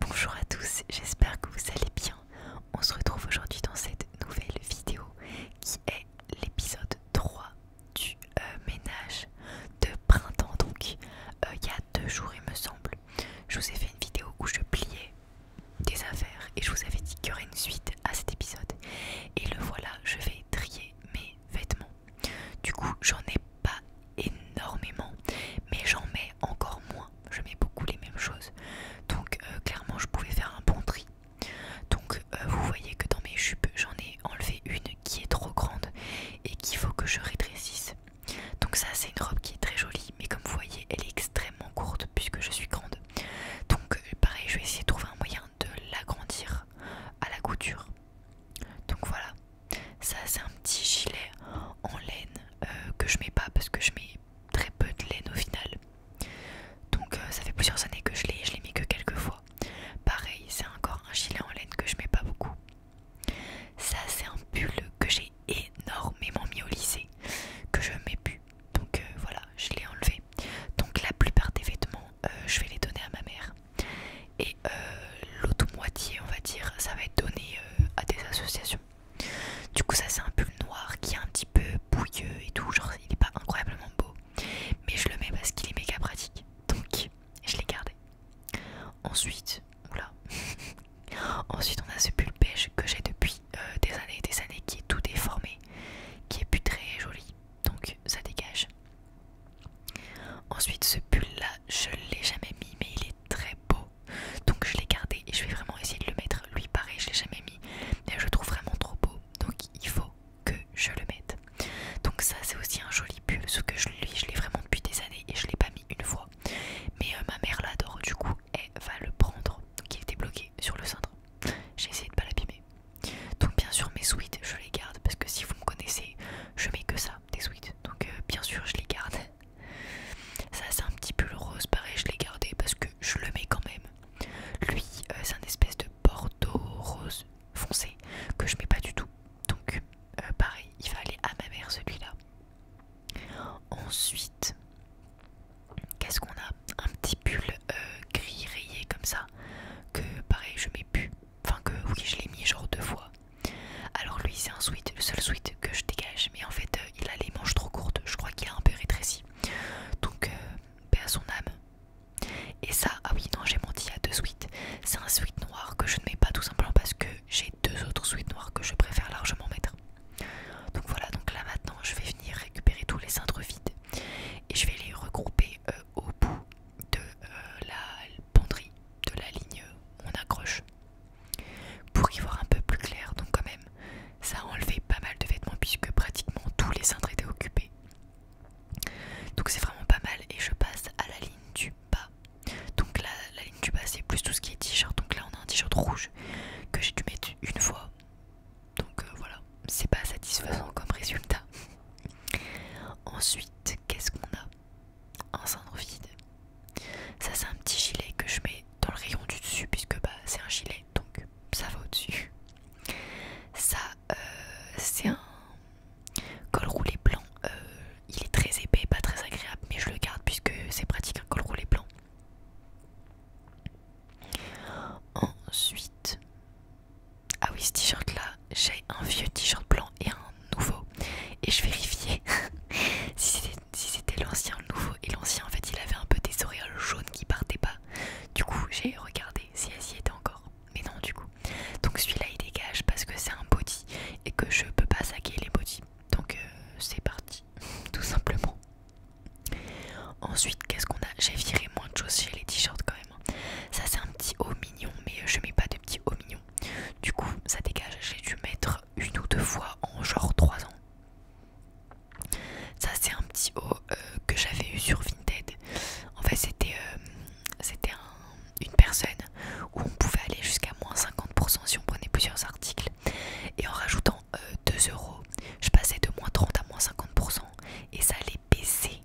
Bonjour à tous, j'espère que vous allez bien. On se retrouve aujourd'hui dans cette nouvelle vidéo qui est l'épisode 3 du euh, ménage de printemps. Donc, euh, il y a deux jours, il me semble, je vous ai fait une vidéo où je pliais des affaires et je vous avais dit qu'il y aurait une suite à cet épisode. Et le voilà, je vais trier mes vêtements. Du coup, j'en ai pas énormément, mais j'en mets encore moins. Je mets beaucoup les mêmes choses. Donc euh, clairement, je pouvais faire un bon tri. Donc euh, vous voyez que dans mes jupes, j'en ai enlevé une qui est trop grande et qu'il faut que je rétrécisse. Donc ça, c'est une robe qui est très jolie, mais comme vous voyez, elle est extrêmement courte puisque je suis grande. Donc euh, pareil, je vais essayer de trouver un moyen de l'agrandir à la couture. Donc voilà. Ça c'est un petit gilet en laine euh, que je mets pas parce que je mets très peu de laine au final. Donc euh, ça fait plusieurs années que je l'ai, et je l'ai mis que quelques fois. Pareil, c'est encore un gilet en laine que je mets pas beaucoup. Ça c'est un pull que j'ai énormément mis au lycée, que je mets plus. Donc euh, voilà, je l'ai enlevé. Donc la plupart des vêtements, je vais les donner à ma mère. Et euh, euh, l'autre moitié, on va dire, ça va être donné euh, à des associations. Du coup, ça c'est un pull noir qui est un petit peu bouilleux et tout, genre il est pas incroyablement beau, mais je le mets parce qu'il est méga pratique, donc je l'ai gardé. Ensuite, oula, ensuite on a ce pull beige que j'ai depuis euh, des années et des années qui est tout déformé, qui est putré très joli, donc ça dégage. Ensuite, ce pull là, je l'ai jamais mis, mais il est très beau donc je l'ai gardé et je vais vraiment essayer de le mettre lui pareil je l'ai jamais mis mais je le trouve vraiment trop beau donc il faut que je le mette donc ça c'est aussi un joli pull ce que je lui je l'ai vraiment depuis des années et je l'ai pas mis une fois mais euh, ma mère l'adore du coup elle va le prendre donc il était bloqué sur le cintre j'ai essayé de pas l'abîmer donc bien sûr mes sweets je les garde parce que si vous me connaissez je mets que ça des sweets donc euh, bien sûr je les garde ça c'est un petit pull rose, pareil je l'ai gardé parce que je le mets quand même. Lui euh, c'est un espèce de bordeaux rose foncé que je mets pas du tout. Donc euh, pareil, il va aller à ma mère celui-là. Ensuite, qu'est-ce qu'on a Un petit pull euh, gris rayé comme ça que pareil je mets plus. Enfin que oui je l'ai mis genre deux fois. Alors lui c'est un sweet, le seul sweet que je dégage, mais en fait euh, il a les manches trop courtes, je crois qu'il a un peu rétréci. Donc euh, paie à son âme. Et ça, ah oui non j'ai menti, à y a deux suites C'est un sweat noir que je ne mets pas tout simplement parce que j'ai deux autres suites noires que je préfère largement mettre. Donc voilà, donc là maintenant je vais venir récupérer tous les cintres vides et je vais les regrouper euh, au bout de la penderie, de la ligne où on accroche. Pour y voir un peu plus clair, donc quand même, ça a enlevé pas mal de vêtements puisque pratiquement tous les cintres étaient occupés. Donc c'est vraiment pas mal et je passe à la ligne du bas. Donc là, la ligne du bas c'est plus tout ce qui est t-shirt. Donc là on a un t-shirt rouge que j'ai dû mettre une fois. Donc euh, voilà, c'est pas satisfaisant comme résultat. Ensuite, qu'est-ce qu'on a un cendre vide. Ça c'est un petit gilet que je mets dans le rayon du dessus puisque bah c'est un gilet donc ça va au-dessus. Ça euh, c'est un col roulé blanc. Euh, il est très épais, pas très agréable mais je le garde puisque c'est pratique un col roulé blanc. Ensuite, ah oui ce t-shirt là, j'ai un vieux t-shirt blanc et un nouveau et je vérifiais si c'était l'ancien l'ancien le nouveau et l'ancien en fait il avait un peu des oreilles jaunes qui partaient pas du coup j'ai regardé si elle y était encore mais non du coup donc celui-là il dégage parce que c'est un body et que je peux pas saquer les bodies donc euh, c'est parti tout simplement ensuite qu'est-ce qu'on a j'ai viré moins de choses chez les t-shirts quand même ça c'est un petit haut mignon mais euh, je mets pas de petit haut mignon du coup, ça dégage, j'ai dû mettre une ou deux fois en genre trois ans. Ça, c'est un petit haut euh, que j'avais eu sur Vinted. En fait, c'était euh, c'était une personne où on pouvait aller jusqu'à moins 50% si on prenait plusieurs articles. Et en rajoutant 2 euh, euros, je passais de moins 30 à moins 50%. Et ça allait baisser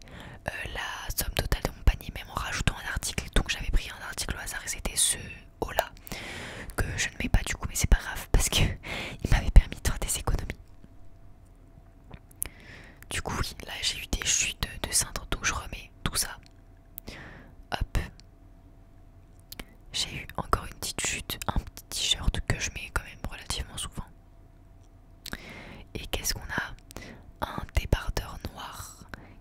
la somme totale de mon panier même en rajoutant un article. Donc j'avais pris un article au hasard et c'était ce haut-là que je ne mets pas du coup, mais c'est pas grave parce que il m'avait permis de faire des économies. Du coup, là j'ai eu des chutes de cintre, donc je remets tout ça. Hop. J'ai eu encore une petite chute, un petit t-shirt que je mets quand même relativement souvent. Et qu'est-ce qu'on a Un débardeur noir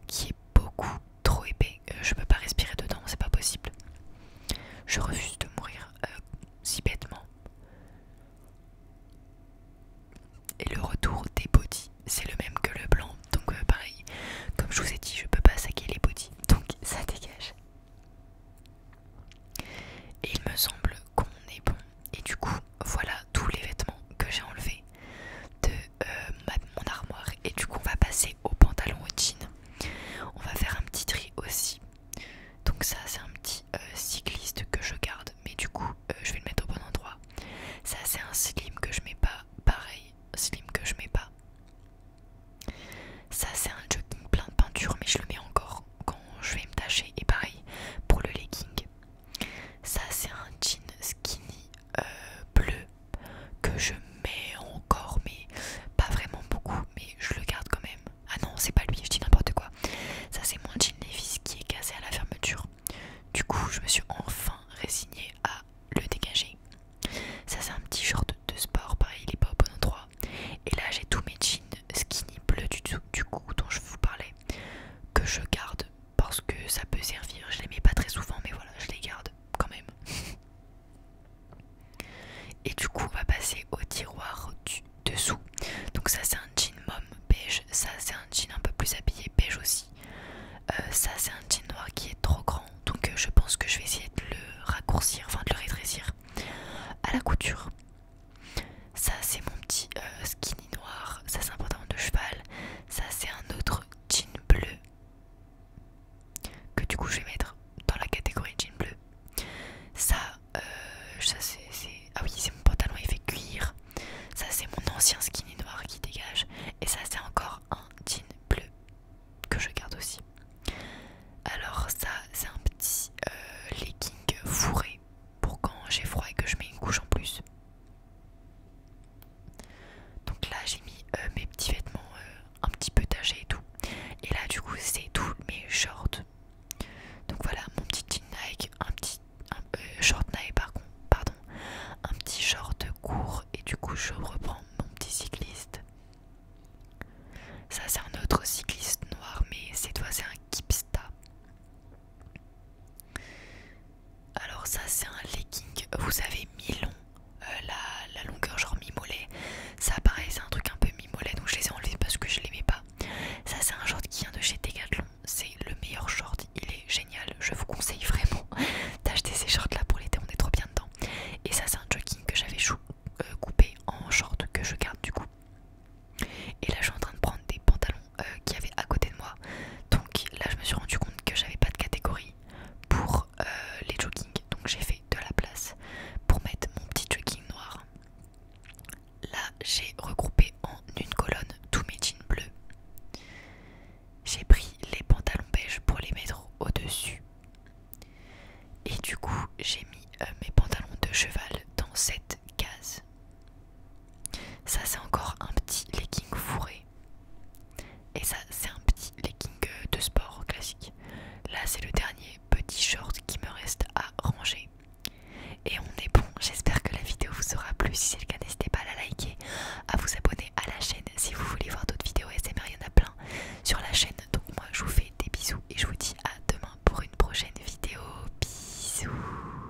qui est beaucoup trop épais. Euh, je peux pas respirer dedans, c'est pas possible. Je refuse de mourir euh, si bêtement. Et le retour des body, c'est le même que le blanc. Donc euh, pareil, comme je vous ai dit, je peux pas saquer les bodys. Donc ça dégage. Et il me semble qu'on est bon. Et du coup, voilà tous les vêtements que j'ai enlevés de euh, mon armoire et du coup on va passer au pantalon au jeans. on va faire un petit tri aussi donc ça c'est un petit euh, cycliste que je garde mais du coup euh, je vais le mettre au bon endroit ça c'est un slim que je mets pas pareil slim que je mets pas ça c'est un jogging plein de peinture mais je le mets encore quand je vais me tâcher et pareil pour le legging ça c'est un jean skinny euh, bleu que je mets encore, mais pas vraiment beaucoup, mais je le garde quand même. Ah non, c'est pas lui, je dis n'importe quoi. Ça, c'est mon jean Levis qui est cassé à la fermeture. Du coup, je me suis enfin résignée à le dégager. Ça, c'est un petit genre de sport, pareil, il est pas au bon endroit. Et là, j'ai tous mes jeans skinny bleu du, du coup dont je vous parlais que je garde parce que ça peut servir. Je les mets pas très souvent, mais voilà, je les garde quand même. Et du coup, on va passer au tiroir du dessous. Donc ça, c'est un jean mom beige. Ça, c'est un jean un peu plus habillé beige aussi. Euh, ça, c'est un jean noir qui est trop grand. Donc euh, je pense que je vais essayer de le raccourcir, enfin de le rétrécir à la couture. Ça, c'est mon petit euh, skinny noir. Ça, c'est un pantalon de cheval. Ça c'est un autre jean bleu que du coup je vais mettre dans la catégorie jean bleu. Ça, euh, c'est... Ah oui c'est mon pantalon effet fait cuir. Ça c'est mon ancien skinny noir qui dégage. Et ça c'est encore un jean bleu que je garde aussi. Alors ça c'est un petit euh, legging fourré pour quand j'ai froid et que je mets une couche en plus. Donc là j'ai mis euh, mes petits vêtements euh, un petit peu tachés et tout. Et là du coup c'est tous mes shorts. Donc voilà mon petit un petit euh, short Nike par pardon, un petit short court et du coup je reprends mon petit cycliste. Ça c'est un autre cycliste noir mais cette fois c'est un Kipsta. Alors ça c'est un legging, vous avez mi-long, euh, la, longueur genre mi-mollet. Ça pareil c'est un truc un peu mi-mollet donc je les ai enlevés parce que je l'aimais pas. Ça c'est un short qui vient de chez Decathlon, c'est le meilleur short, il est génial. Je vous conseille vraiment d'acheter ces shorts là pour l'été, on est trop bien dedans. Et ça c'est un jogging que j'avais euh, coupé en short que je garde du coup. Et là je suis en train de prendre des pantalons euh, qui avait à côté de moi. Donc là, je me suis rendu compte que j'avais pas de catégorie pour euh, les joggings. Donc j'ai fait de la place pour mettre mon petit jogging noir. Là, j'ai regroupé en une colonne tous mes jeans bleus. J'ai pris les pantalons beige pour les mettre au-dessus. Et du coup, j'ai mis euh, mes pantalons de cheval dans cette ça c'est encore un petit legging fourré. Et ça c'est un petit legging euh, de sport classique. Là c'est le dernier petit short qui me reste à ranger. Et on est bon, j'espère que la vidéo vous aura plu. Si c'est le cas, n'hésitez pas à la liker, à vous abonner à la chaîne si vous voulez voir d'autres vidéos SMR, il y en a plein sur la chaîne. Donc moi je vous fais des bisous et je vous dis à demain pour une prochaine vidéo. Bisous